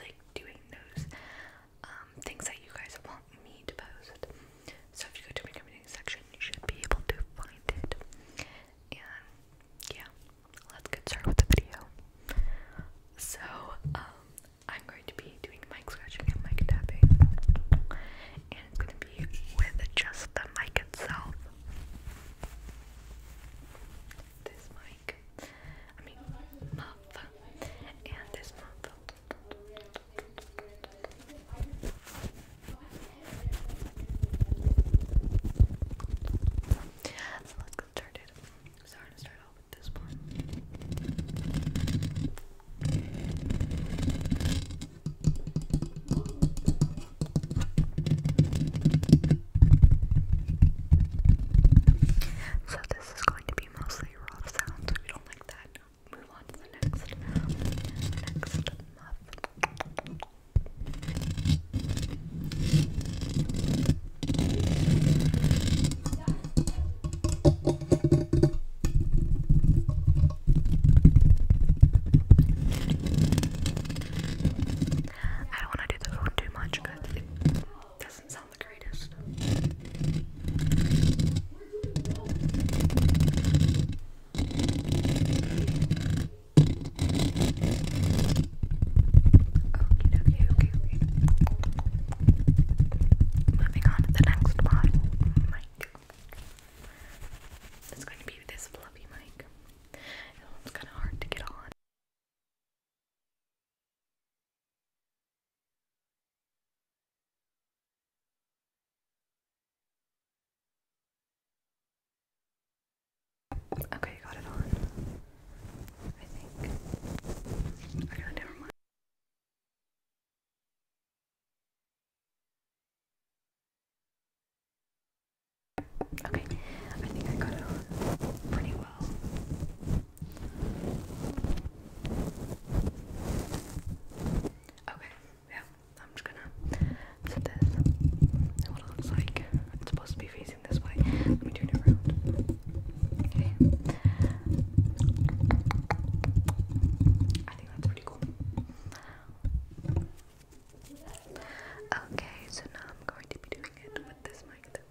like doing those um, things that you guys want me to post. So if you go to my community section, you should be able to find it. And yeah, let's get started with the video. So um, I'm going to be doing mic scratching and mic tapping, and it's going to be with just the mic itself. This mic. I So let's get started. So I'm gonna start off with this one. So this is going to be mostly raw sounds. If you don't like that, move on to the next, next muff. I don't want to do this one too much doesn't sound the greatest. Okay, okay, okay, okay. Moving on to the next Mic. It's going to be this fluffy mic. It's kind of hard to get on. Okay, got it on. I think. Okay, never mind. Okay, I think I got it on pretty well. Okay, yeah, I'm just gonna set this what it looks like. It's supposed to be facing this way. Let me turn it around. Okay. I think that's pretty cool. Okay, so now I'm going to be doing it with this mic.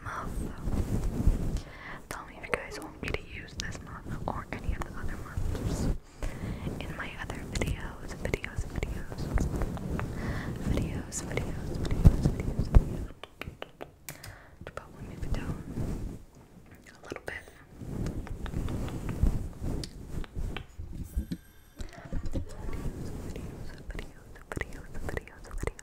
muff. Tell me if you guys want me to use this muff or any of the other muffs in my other videos, videos, videos, videos, videos, videos, videos, videos. To probably move it down a little bit. videos, videos, videos, videos, videos,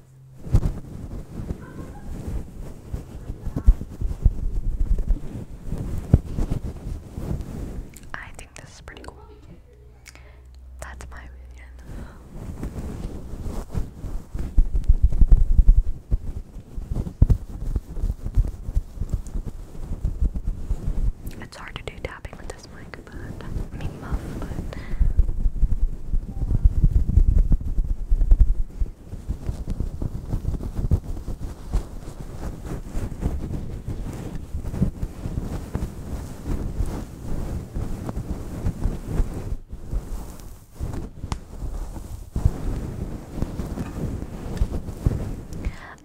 I think this is pretty cool. That's my opinion. It's hard to do tapping with this mic, but I mean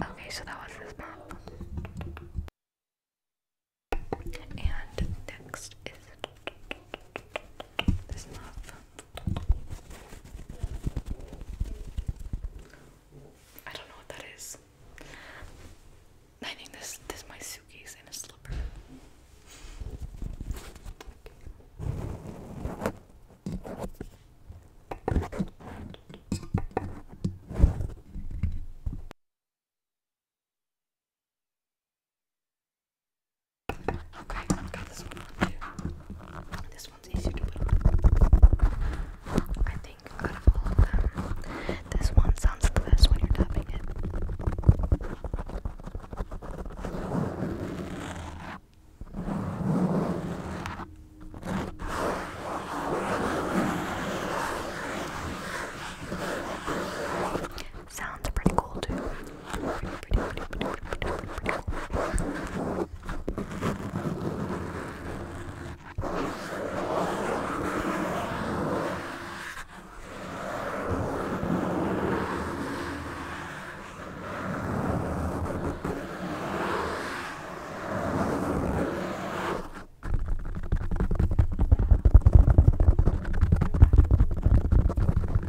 Okay, so that was this map. And next is there's not. I don't know what that is. I think this is my suitcase and a slipper. Okay, got this one This one's easier to do. I think out of all of them, this one sounds the best when you're tapping it sounds pretty cool too.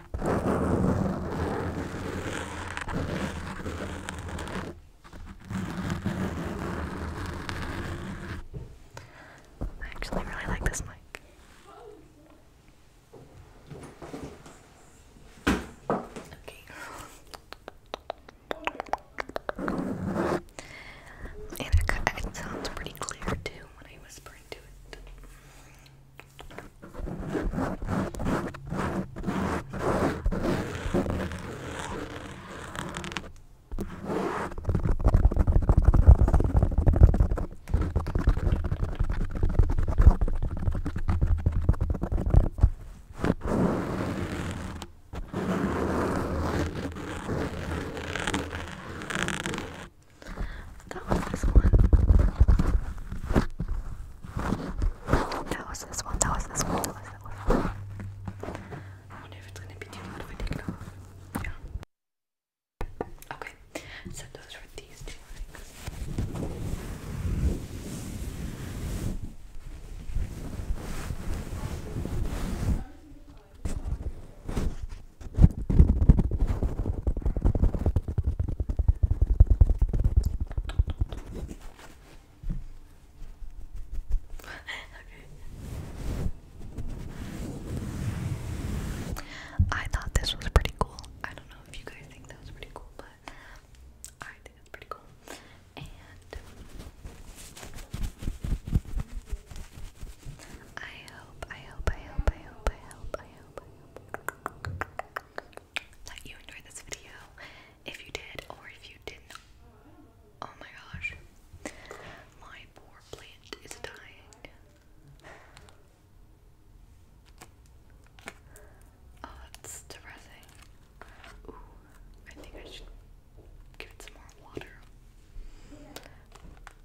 I actually really like this mic. Okay. And it, it sounds pretty clear too when I whisper into it. That was this one. That was this one, that was this one, that was that one. I wonder if it's gonna be too loud if I Okay, so those were these two things. I thought this was pretty cool. I don't know if you guys think that was pretty cool, but I think it's pretty cool. And I hope, I hope, I hope, I hope, I hope, I hope that you enjoyed this video. If you did, or if you didn't, oh my gosh, my poor plant is dying. Oh, that's depressing. Ooh, I think I should give it some more water.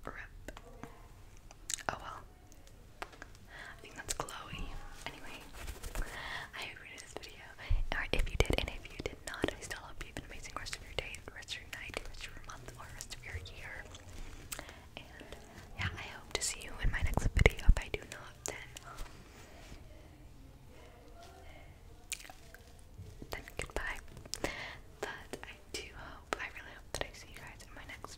Rip. Oh well. I think that's Chloe. Anyway, I hope you enjoyed this video. Or if you did, and if you did not, I still hope you have an amazing rest of your day, rest of your night, rest of your month, or rest of your year. And yeah, I hope to see you in my next video. If I do not, then then goodbye. But I do hope, I really hope that I see you guys in my next